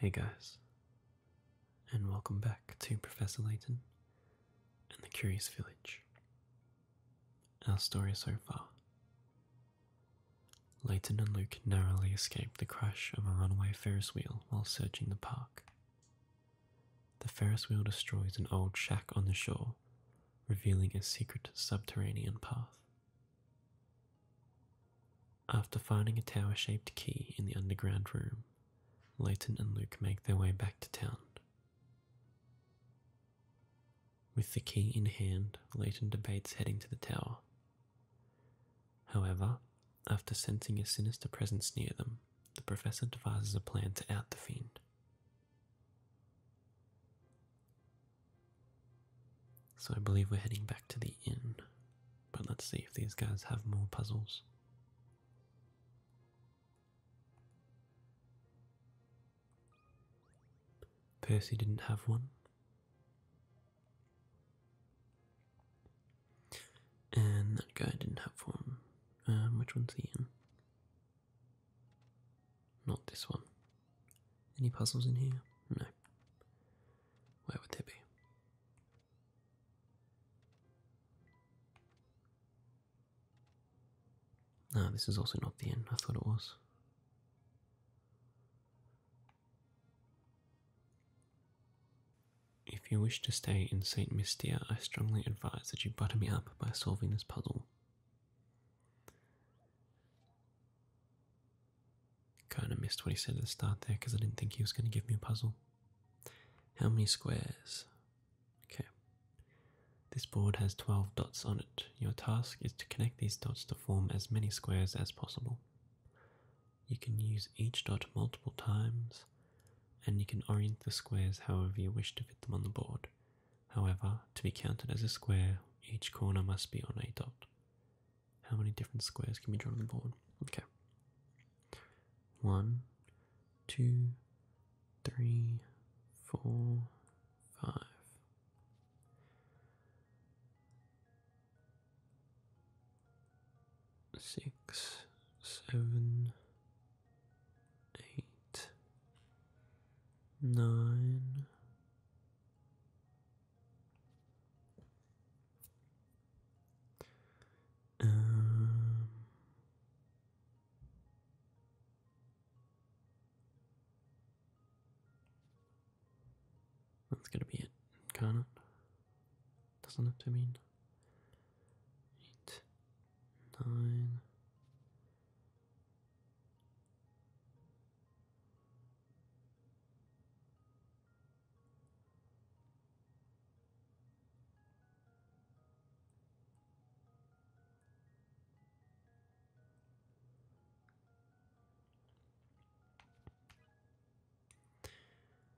Hey guys, and welcome back to Professor Layton and the Curious Village. Our story so far Leighton and Luke narrowly escape the crash of a runaway Ferris wheel while searching the park. The Ferris wheel destroys an old shack on the shore, revealing a secret subterranean path. After finding a tower shaped key in the underground room, Leighton and Luke make their way back to town. With the key in hand, Leighton debates heading to the tower. However, after sensing a sinister presence near them, the professor devises a plan to out the fiend. So I believe we're heading back to the inn, but let's see if these guys have more puzzles. Percy didn't have one. And that guy didn't have one. Um, which one's he in? Not this one. Any puzzles in here? No. Where would they be? Ah, this is also not the end. I thought it was. If you wish to stay in St. Mystia, I strongly advise that you butter me up by solving this puzzle. Kind of missed what he said at the start there because I didn't think he was going to give me a puzzle. How many squares? Okay. This board has 12 dots on it. Your task is to connect these dots to form as many squares as possible. You can use each dot multiple times, and you can orient the squares however you wish to fit them on the board. However, to be counted as a square, each corner must be on a dot. How many different squares can be drawn on the board? Okay. One, two, three, four, five six, seven, eight, nine. Um, that's gonna be it, can't it? Doesn't have to mean? Eight, nine.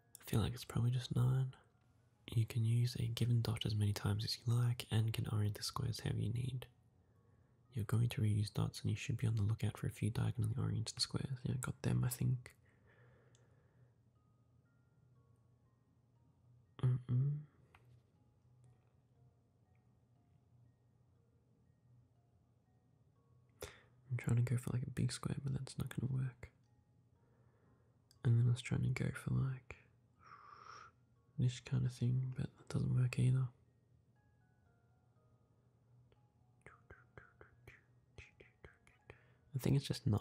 I feel like it's probably just 9. You can use a given dot as many times as you like and can orient the squares however you need. You're going to reuse dots and you should be on the lookout for a few diagonally oriented squares. Yeah, I got them, I think. I'm trying to go for like a big square, but that's not going to work. And then I was trying to go for like this kind of thing, but that doesn't work either. I think it's just nine.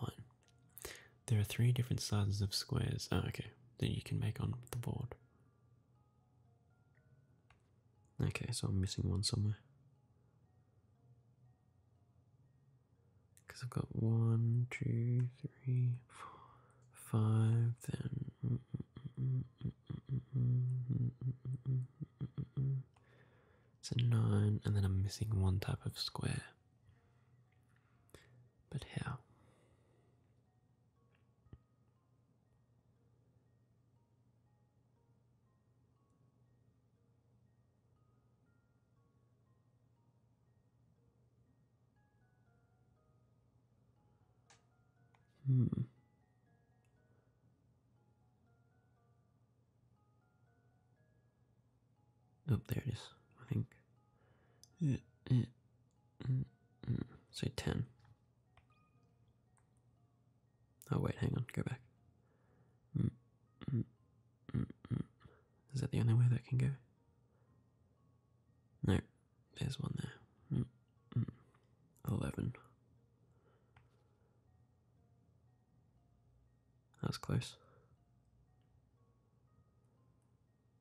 There are three different sizes of squares. Oh, okay, that you can make on the board. Okay, so I'm missing one somewhere. Because I've got one, two, three, four, five, then. It's a nine, and then I'm missing one type of square. But how? Hmm. Oh, there it is. I think. Yeah, yeah, Mm, mm. Say 10. Oh, wait, hang on, go back. Mm, Is that the only way that can go? No, there's one there. 11. That was close.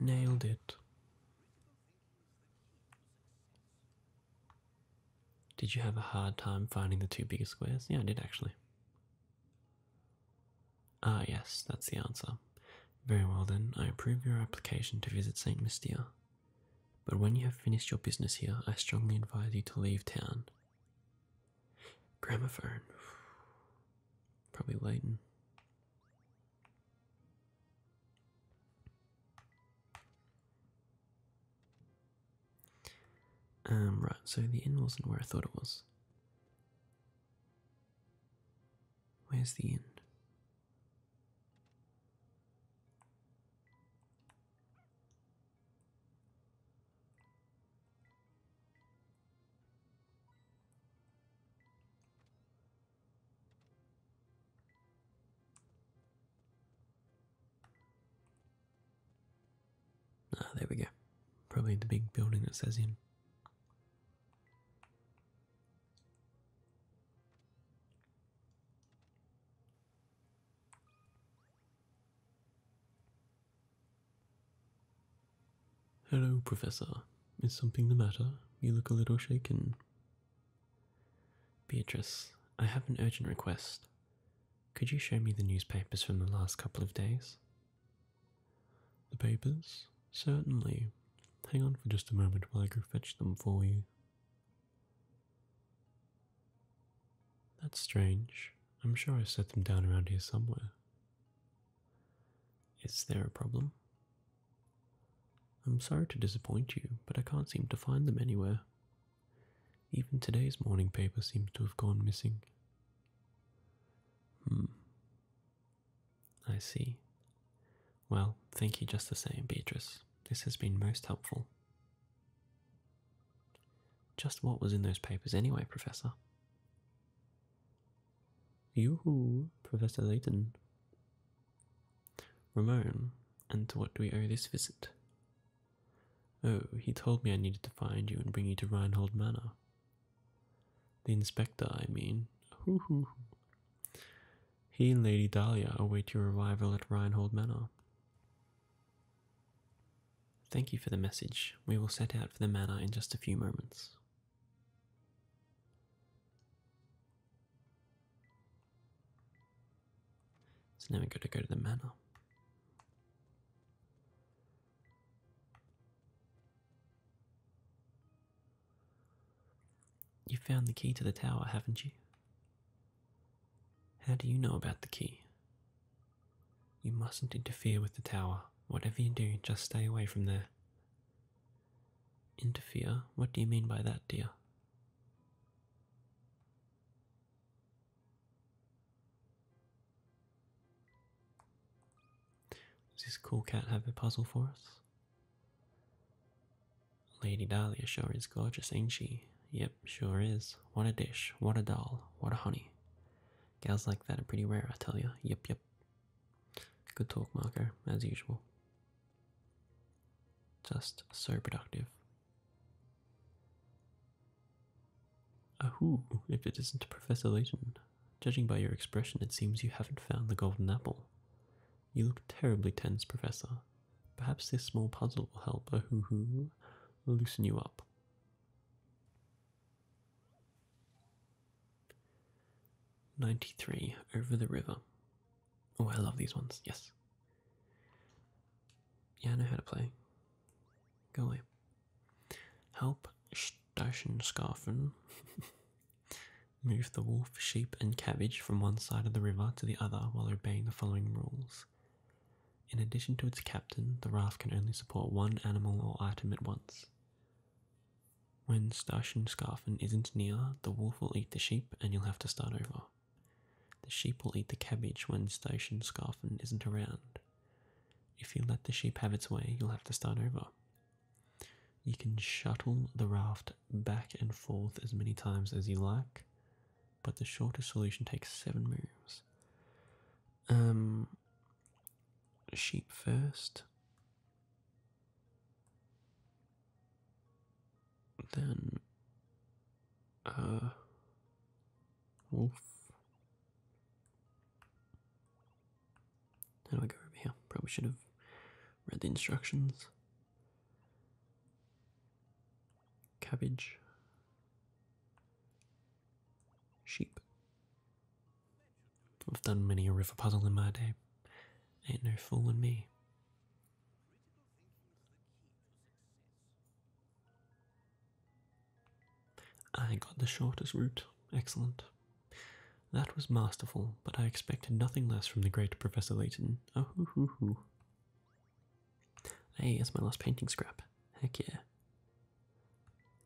Nailed it. Did you have a hard time finding the two biggest squares? Yeah, I did actually. Ah, yes, that's the answer. Very well then, I approve your application to visit St. Mystia. But when you have finished your business here, I strongly advise you to leave town. Gramophone. Probably Leighton. Um, right, so the inn wasn't where I thought it was. Where's the inn? Ah, there we go. Probably the big building that says in. Hello, Professor. Is something the matter? You look a little shaken. Beatrice, I have an urgent request. Could you show me the newspapers from the last couple of days? The papers? Certainly. Hang on for just a moment while I go fetch them for you. That's strange. I'm sure I set them down around here somewhere. Is there a problem? I'm sorry to disappoint you, but I can't seem to find them anywhere. Even today's morning paper seems to have gone missing. Hmm. I see. Well, thank you just the same, Beatrice. This has been most helpful. Just what was in those papers anyway, Professor? You, hoo Professor Layton. Ramon, and to what do we owe this visit? Oh, he told me I needed to find you and bring you to Reinhold Manor. The inspector, I mean. Hoo hoo. He and Lady Dahlia await your arrival at Reinhold Manor. Thank you for the message. We will set out for the manor in just a few moments. So now we got to go to the manor. You found the key to the tower, haven't you? How do you know about the key? You mustn't interfere with the tower. Whatever you do, just stay away from there. Interfere? What do you mean by that, dear? Does this cool cat have a puzzle for us? Lady Dahlia sure is gorgeous, ain't she? Yep, sure is. What a dish, what a doll, what a honey. Gals like that are pretty rare, I tell ya. Yep, yep. Good talk, Marco, as usual. Just so productive. Ahoo, if it isn't Professor Layton. Judging by your expression, it seems you haven't found the golden apple. You look terribly tense, Professor. Perhaps this small puzzle will help ahoo loosen you up. 93 over the river. Oh, I love these ones. Yes. Yeah, I know how to play. Go away. Help Stationskafen move the wolf, sheep, and cabbage from one side of the river to the other while obeying the following rules. In addition to its captain, the raft can only support one animal or item at once. When Starshin Scarfin isn't near, the wolf will eat the sheep and you'll have to start over. The sheep will eat the cabbage when Station Scarfin isn't around. If you let the sheep have its way, you'll have to start over. You can shuttle the raft back and forth as many times as you like, but the shortest solution takes seven moves. Um, sheep first. Then, uh, wolf. How do I go over here? Probably should have read the instructions. Cabbage. Sheep. I've done many a river puzzle in my day. Ain't no fooling me. I got the shortest route. Excellent. That was masterful, but I expected nothing less from the great Professor Layton. Oh, hoo, hoo, hoo. Hey, it's my last painting scrap. Heck yeah.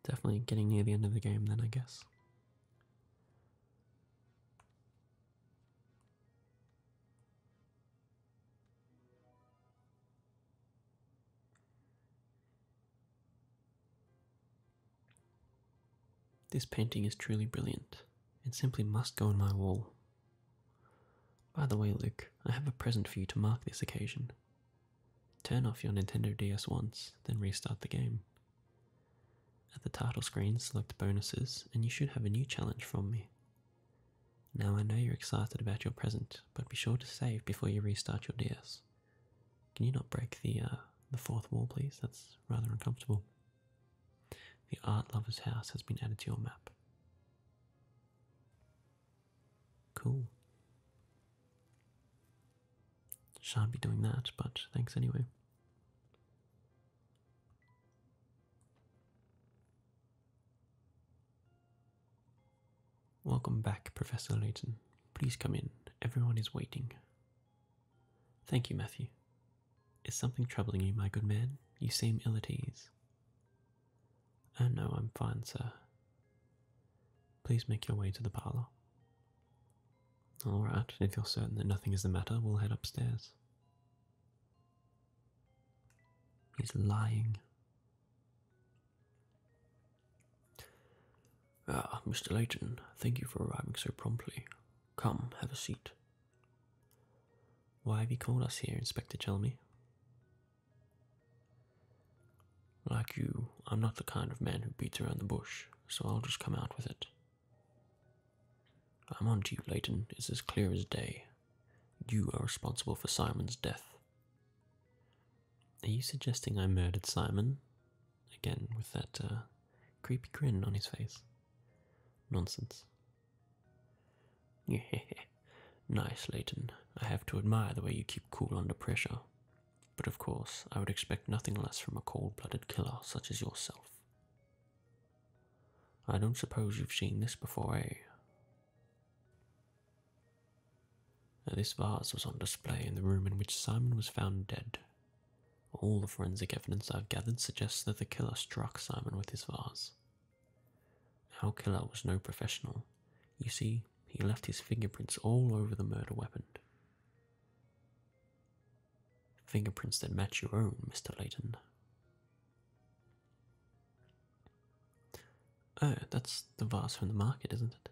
Definitely getting near the end of the game, then, I guess. This painting is truly brilliant. It simply must go on my wall. By the way, Luke, I have a present for you to mark this occasion. Turn off your Nintendo DS once, then restart the game. At the title screen, select bonuses, and you should have a new challenge from me. Now I know you're excited about your present, but be sure to save before you restart your DS. Can you not break the uh, the fourth wall, please? That's rather uncomfortable. The art lover's house has been added to your map. Cool. Shan't be doing that, but thanks anyway. Welcome back, Professor Layton. Please come in. Everyone is waiting. Thank you, Matthew. Is something troubling you, my good man? You seem ill at ease. Oh, no, I'm fine, sir. Please make your way to the parlour. All right, if you're certain that nothing is the matter, we'll head upstairs. He's lying. Ah, Mr. Layton, thank you for arriving so promptly. Come, have a seat. Why have you called us here, Inspector Chelmy? Like you, I'm not the kind of man who beats around the bush, so I'll just come out with it. I'm on to you, Leighton. It's as clear as day. You are responsible for Simon's death. Are you suggesting I murdered Simon? Again, with that uh, creepy grin on his face. Nonsense. nice, Leighton. I have to admire the way you keep cool under pressure. But of course, I would expect nothing less from a cold blooded killer such as yourself. I don't suppose you've seen this before, eh? this vase was on display in the room in which Simon was found dead. All the forensic evidence I've gathered suggests that the killer struck Simon with this vase. Our killer was no professional. You see, he left his fingerprints all over the murder weapon, Fingerprints that match your own, Mr. Layton. Oh, that's the vase from the market, isn't it?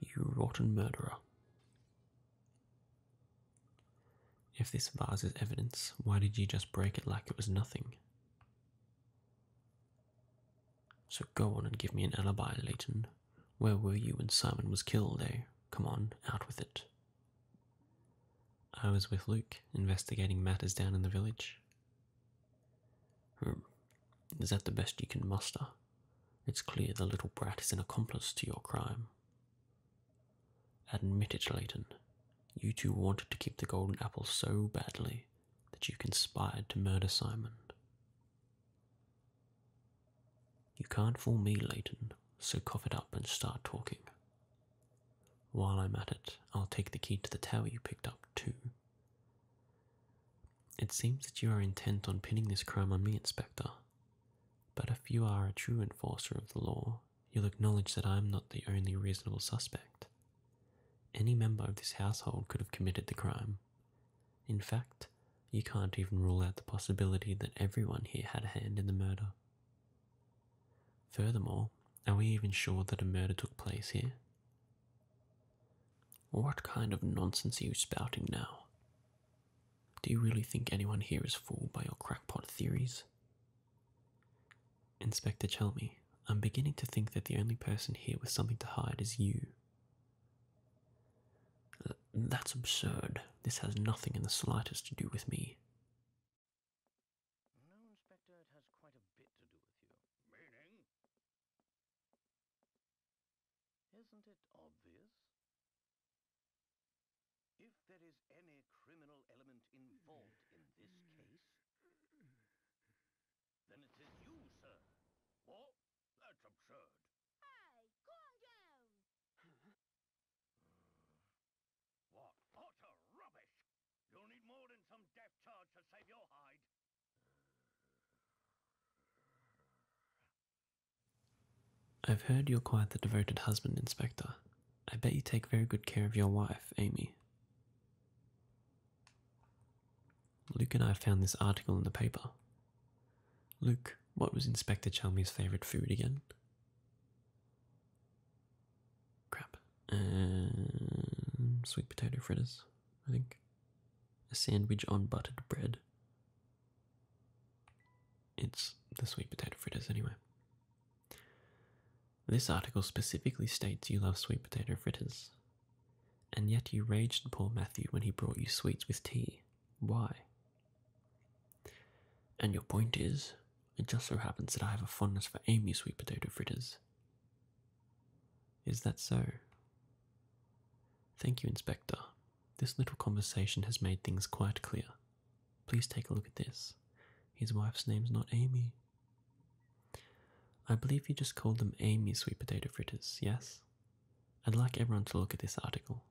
You rotten murderer. If this vase is evidence, why did you just break it like it was nothing? So go on and give me an alibi, Leighton. Where were you when Simon was killed, eh? Come on, out with it. I was with Luke, investigating matters down in the village. Hmm. Is that the best you can muster? It's clear the little brat is an accomplice to your crime. Admit it, Leighton. You two wanted to keep the golden apple so badly that you conspired to murder Simon. You can't fool me, Leighton, so cough it up and start talking. While I'm at it, I'll take the key to the tower you picked up, too. It seems that you are intent on pinning this crime on me, Inspector. But if you are a true enforcer of the law, you'll acknowledge that I am not the only reasonable suspect. Any member of this household could have committed the crime. In fact, you can't even rule out the possibility that everyone here had a hand in the murder. Furthermore, are we even sure that a murder took place here? What kind of nonsense are you spouting now? Do you really think anyone here is fooled by your crackpot theories? Inspector Chelme? I'm beginning to think that the only person here with something to hide is you. That's absurd. This has nothing in the slightest to do with me. No, Inspector, it has quite a bit to do with you. Meaning? Isn't it obvious? If there is any criminal element involved in this hmm. case, then it is you, sir. What? That's absurd. Hey, go uh, what utter rubbish! You'll need more than some death charge to save your hide. I've heard you're quite the devoted husband, Inspector. I bet you take very good care of your wife, Amy. Luke and I found this article in the paper. Luke, what was Inspector Chalmers' favourite food again? Crap. sweet potato fritters, I think. A sandwich on buttered bread. It's the sweet potato fritters, anyway. This article specifically states you love sweet potato fritters. And yet you raged poor Matthew when he brought you sweets with tea. Why? And your point is, it just so happens that I have a fondness for Amy's sweet potato fritters. Is that so? Thank you, Inspector. This little conversation has made things quite clear. Please take a look at this. His wife's name's not Amy, I believe you just called them Amy's sweet potato fritters, yes? I'd like everyone to look at this article.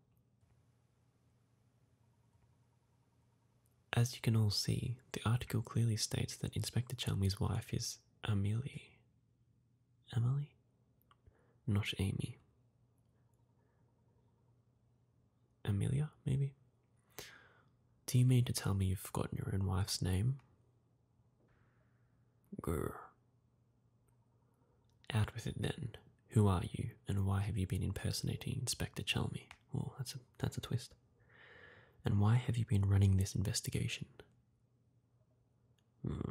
As you can all see, the article clearly states that Inspector Chalmers' wife is Amelia. Emily? Not Amy. Amelia, maybe? Do you mean to tell me you've forgotten your own wife's name? Grr. Out with it then. Who are you, and why have you been impersonating Inspector Chalmy? Oh, that's a that's a twist. And why have you been running this investigation? Hmm.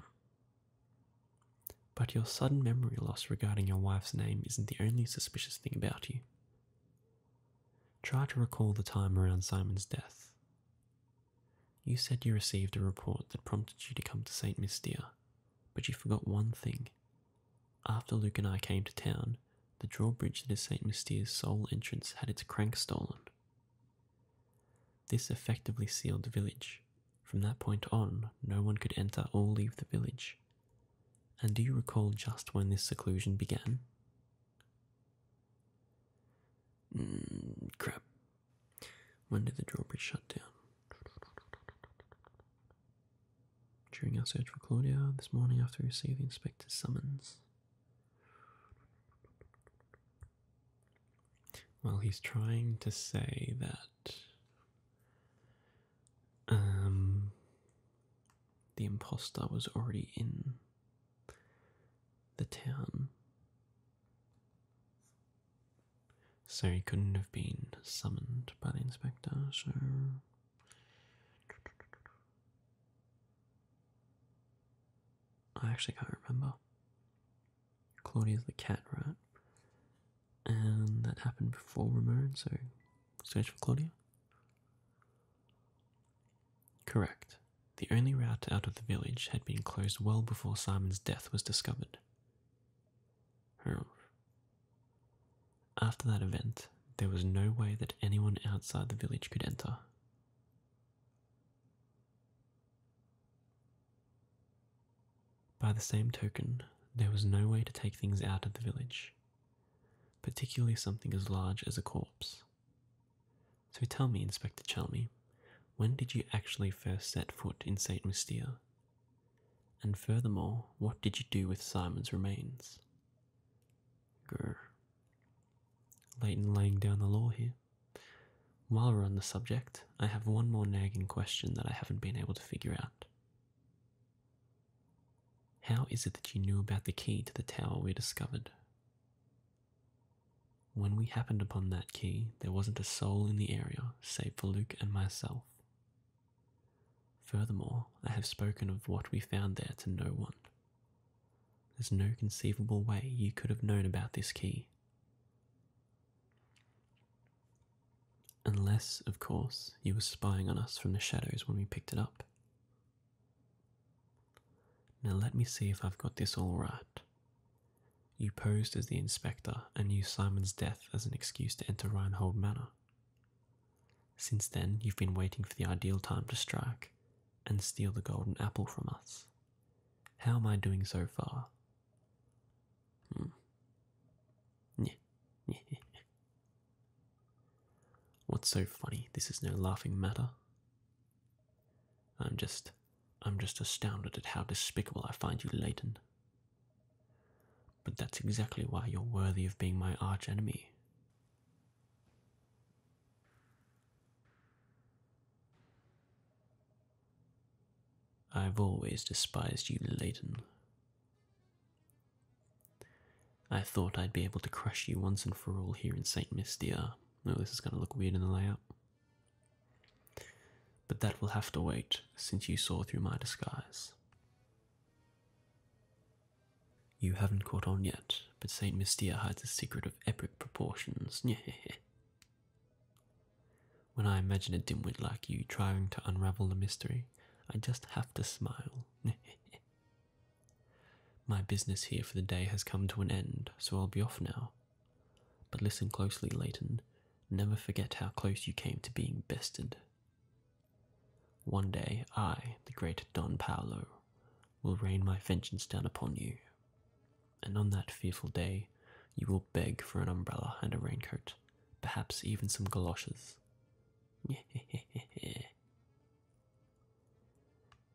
But your sudden memory loss regarding your wife's name isn't the only suspicious thing about you. Try to recall the time around Simon's death. You said you received a report that prompted you to come to St. Mystia, but you forgot one thing. After Luke and I came to town, the drawbridge that is St. Mystia's sole entrance had its crank stolen. This effectively sealed the village. From that point on, no one could enter or leave the village. And do you recall just when this seclusion began? Hmm, crap. When did the drawbridge shut down? During our search for Claudia, this morning after we received the inspector's summons. Well, he's trying to say that um, the impostor was already in the town. So he couldn't have been summoned by the inspector, so. I actually can't remember. Claudia's the cat, right? And that happened before Ramon, so search for Claudia. Correct. The only route out of the village had been closed well before Simon's death was discovered. After that event, there was no way that anyone outside the village could enter. By the same token, there was no way to take things out of the village, particularly something as large as a corpse. So tell me, Inspector Chalmy, when did you actually first set foot in St. Mystere? And furthermore, what did you do with Simon's remains? Grr. Leighton laying down the law here. While we're on the subject, I have one more nagging question that I haven't been able to figure out. How is it that you knew about the key to the tower we discovered? When we happened upon that key, there wasn't a soul in the area save for Luke and myself. Furthermore, I have spoken of what we found there to no one. There's no conceivable way you could have known about this key. Unless, of course, you were spying on us from the shadows when we picked it up, now let me see if I've got this all right. You posed as the inspector and used Simon's death as an excuse to enter Reinhold Manor. Since then, you've been waiting for the ideal time to strike and steal the golden apple from us. How am I doing so far? Hmm. What's so funny? This is no laughing matter. I'm just I'm just astounded at how despicable I find you, Leighton. But that's exactly why you're worthy of being my archenemy. I've always despised you, Leighton. I thought I'd be able to crush you once and for all here in St. Mystia. oh, this is going to look weird in the layout. But that will have to wait, since you saw through my disguise. You haven't caught on yet, but St. Mystia hides a secret of epic proportions. when I imagine a dimwit like you trying to unravel the mystery, I just have to smile. My business here for the day has come to an end, so I'll be off now. But listen closely, Leighton. Never forget how close you came to being bested. One day I, the great Don Paolo, will rain my vengeance down upon you. And on that fearful day, you will beg for an umbrella and a raincoat, perhaps even some galoshes.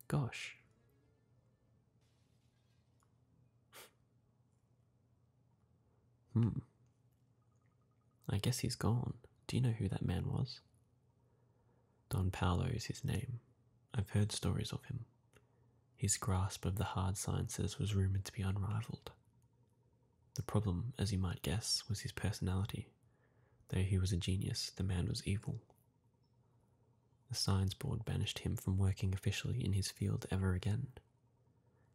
Gosh. hmm. I guess he's gone. Do you know who that man was? Don Paolo is his name. I've heard stories of him. His grasp of the hard sciences was rumoured to be unrivalled. The problem, as you might guess, was his personality. Though he was a genius, the man was evil, the Science Board banished him from working officially in his field ever again.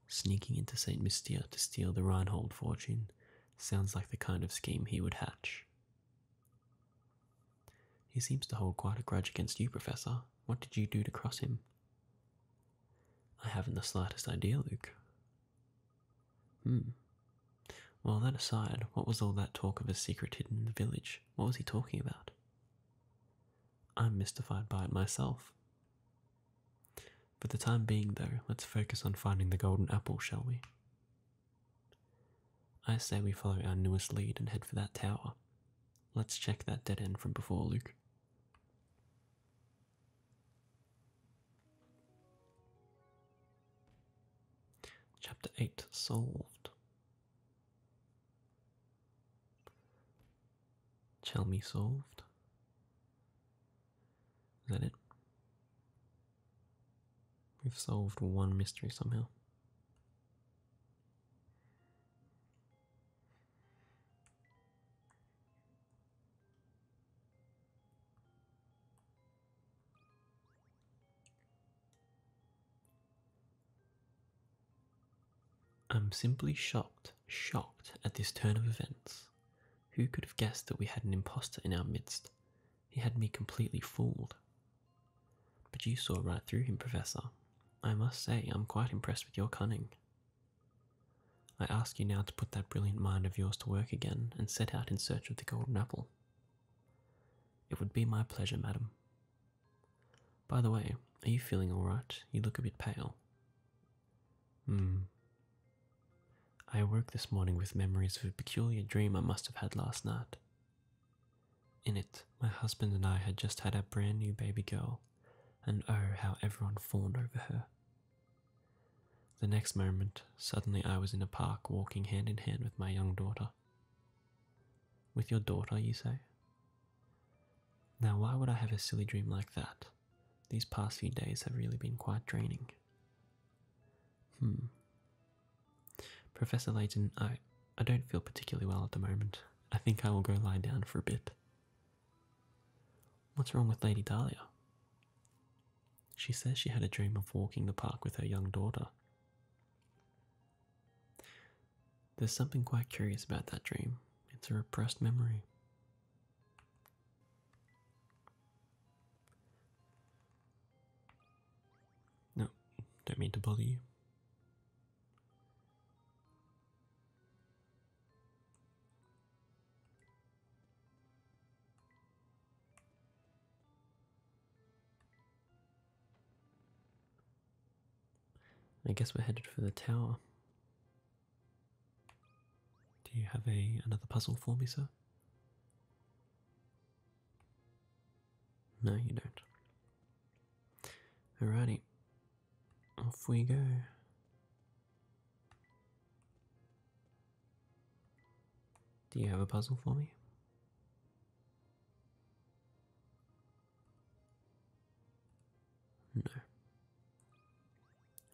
Sneaking into St. Mystia to steal the Reinhold fortune sounds like the kind of scheme he would hatch. He seems to hold quite a grudge against you, Professor. What did you do to cross him? I haven't the slightest idea, Luke. Hmm. Well, that aside, what was all that talk of a secret hidden in the village? What was he talking about? I'm mystified by it myself. For the time being, though, let's focus on finding the golden apple, shall we? I say we follow our newest lead and head for that tower. Let's check that dead end from before, Luke. Chapter 8 Solved. me solved. Is that it? We've solved one mystery somehow. I'm simply shocked, shocked at this turn of events. Who could have guessed that we had an impostor in our midst? He had me completely fooled. But you saw right through him, Professor. I must say, I'm quite impressed with your cunning. I ask you now to put that brilliant mind of yours to work again and set out in search of the golden apple. It would be my pleasure, madam. By the way, are you feeling all right? You look a bit pale. Hmm. I awoke this morning with memories of a peculiar dream I must have had last night. In it, my husband and I had just had a brand new baby girl, and oh, how everyone fawned over her. The next moment, suddenly I was in a park walking hand in hand with my young daughter. With your daughter, you say? Now, why would I have a silly dream like that? These past few days have really been quite draining. Hmm. Professor Layton, I, I don't feel particularly well at the moment. I think I will go lie down for a bit. What's wrong with Lady Dahlia? She says she had a dream of walking the park with her young daughter. There's something quite curious about that dream. It's a repressed memory. No, don't mean to bother you. I guess we're headed for the tower. Do you have a another puzzle for me, sir? No, you don't. All righty, Off we go. Do you have a puzzle for me? No.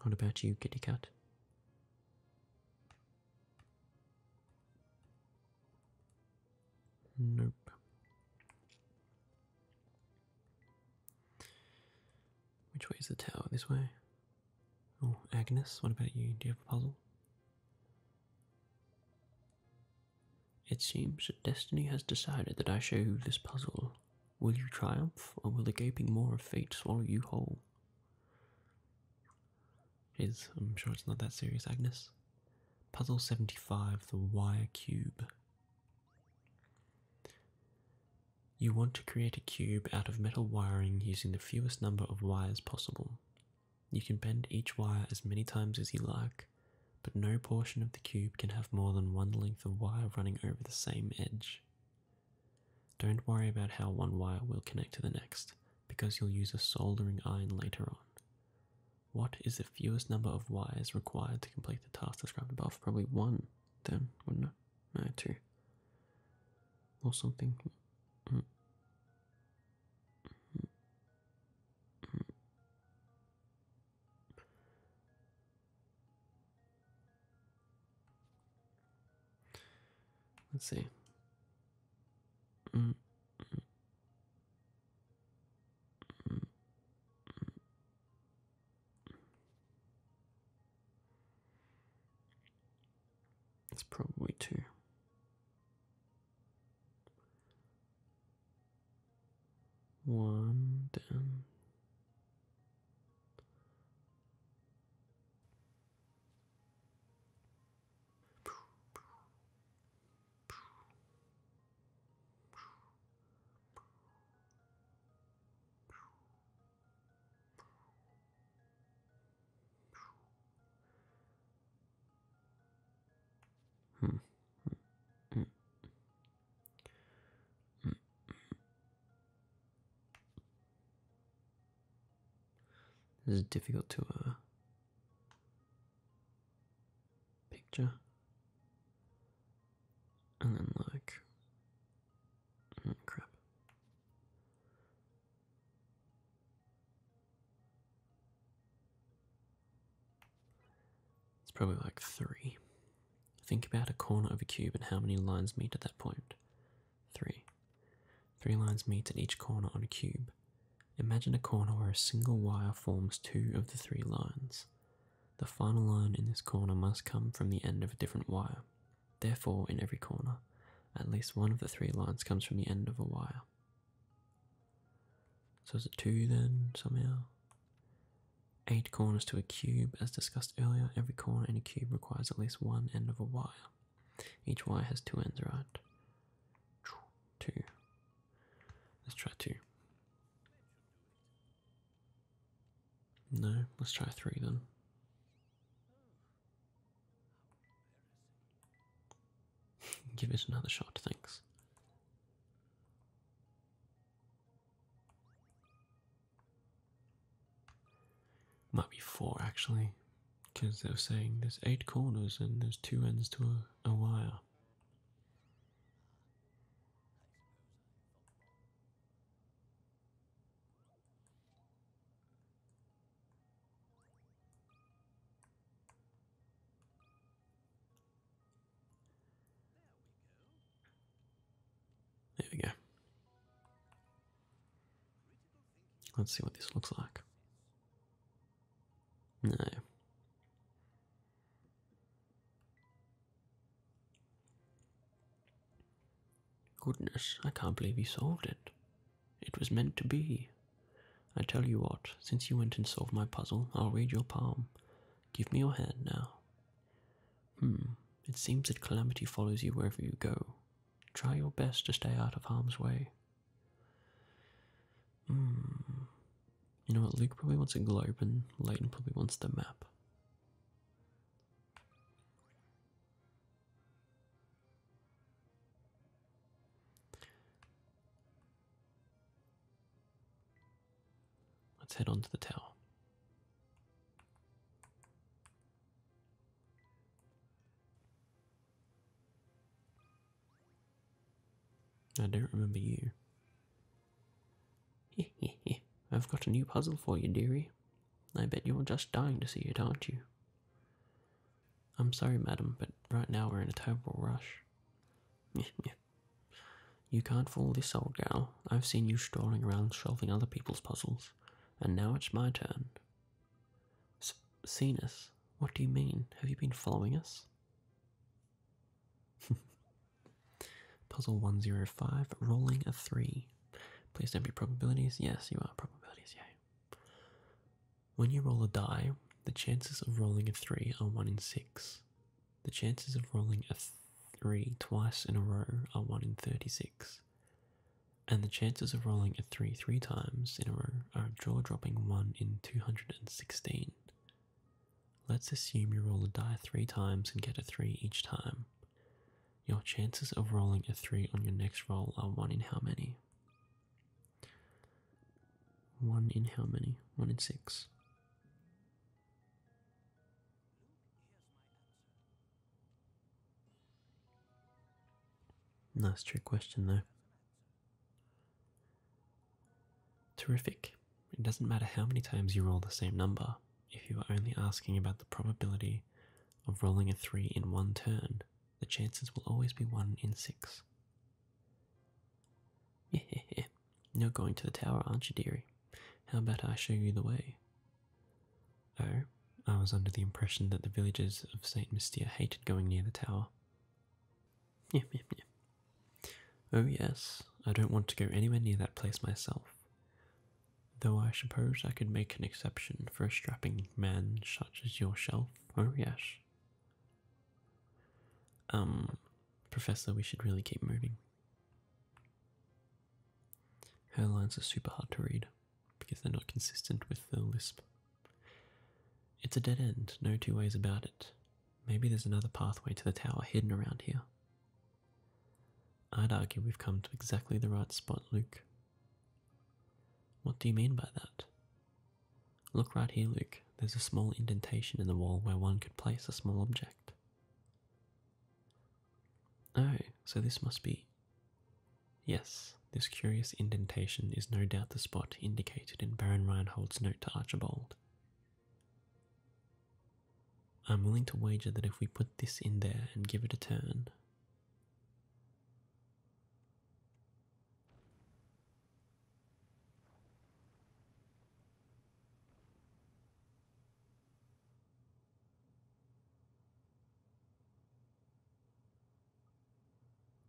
What about you, kitty cat? Nope. Which way is the tower? This way? Oh, Agnes, what about you? Do you have a puzzle? It seems that destiny has decided that I show you this puzzle. Will you triumph, or will the gaping maw of fate swallow you whole? Is I'm sure it's not that serious, Agnes. Puzzle 75, the wire cube. You want to create a cube out of metal wiring using the fewest number of wires possible. You can bend each wire as many times as you like, but no portion of the cube can have more than one length of wire running over the same edge. Don't worry about how one wire will connect to the next, because you'll use a soldering iron later on. What is the fewest number of wires required to complete the task described above? Probably one, then, wouldn't it? two. O som tem. Let's see. Mm. It's probably two. One down. Hmm. Hmm. Hmm. This is difficult to uh picture. And then like hmm, crap. It's probably like three. Think about a corner of a cube and how many lines meet at that point. Three. Three lines meet at each corner on a cube. Imagine a corner where a single wire forms two of the three lines. The final line in this corner must come from the end of a different wire. Therefore, in every corner, at least one of the three lines comes from the end of a wire. So is it two then, somehow? Eight corners to a cube. As discussed earlier, every corner in a cube requires at least one end of a wire. Each wire has two ends, right? Two. Let's try two. No, let's try three then. Give it another shot, thanks. Might be four actually, because they were saying there's eight corners and there's two ends to a, a wire. There we go. Let's see what this looks like. No. Goodness, I can't believe you solved it. It was meant to be. I tell you what, since you went and solved my puzzle, I'll read your palm. Give me your hand now. Hmm, it seems that calamity follows you wherever you go. Try your best to stay out of harm's way. Hmm. You know what? Luke probably wants a globe, and Leighton probably wants the map. Let's head on to the tower. I don't remember you. I've got a new puzzle for you, dearie. I bet you're just dying to see it, aren't you? I'm sorry, madam, but right now we're in a terrible rush. you can't fool this old gal. I've seen you strolling around solving other people's puzzles, and now it's my turn. S What do you mean? Have you been following us? Puzzle 105, rolling a 3. Please don't be probabilities. Yes, you are probabilities, yay. When you roll a die, the chances of rolling a 3 are 1 in 6. The chances of rolling a 3 twice in a row are 1 in 36. And the chances of rolling a 3 three times in a row are jaw dropping 1 in 216. Let's assume you roll a die 3 times and get a 3 each time. Your chances of rolling a 3 on your next roll are 1 in how many? 1 in how many? 1 in 6. Nice trick question, though. Terrific. It doesn't matter how many times you roll the same number if you are only asking about the probability of rolling a 3 in one turn, the chances will always be 1 in 6. Yeah, you're going to the tower, aren't you, dearie? How about I show you the way? Oh, I was under the impression that the villagers of St. Mystia hated going near the tower. Yep, yep, yep. Oh, yes, I don't want to go anywhere near that place myself. Though I suppose I could make an exception for a strapping man such as yourself. Oh, yes. Um, Professor, we should really keep moving. Her lines are super hard to read because they're not consistent with the Lisp. It's a dead end, no two ways about it. Maybe there's another pathway to the tower hidden around here. I'd argue we've come to exactly the right spot, Luke. What do you mean by that? Look right here, Luke. There's a small indentation in the wall where one could place a small object. Oh, so this must be. Yes, this curious indentation is no doubt the spot indicated in Baron Reinhold's note to Archibald. I'm willing to wager that if we put this in there and give it a turn,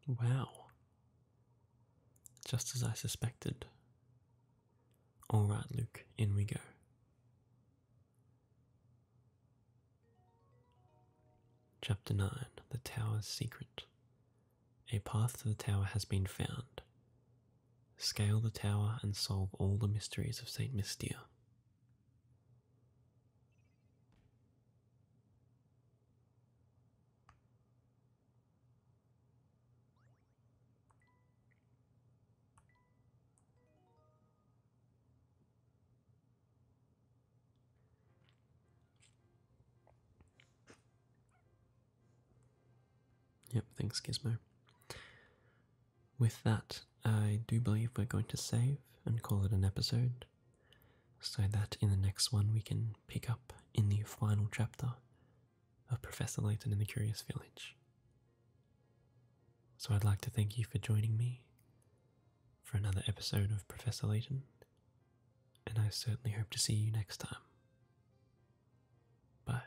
Wow. Just as I suspected. All right, Luke, in we go. Chapter 9 The Tower's Secret A path to the tower has been found. Scale the tower and solve all the mysteries of St. Mystia. Yep, thanks, Gizmo. With that, I do believe we're going to save and call it an episode, so that in the next one we can pick up in the final chapter of Professor Layton in the Curious Village. So I'd like to thank you for joining me for another episode of Professor Layton, and I certainly hope to see you next time. Bye.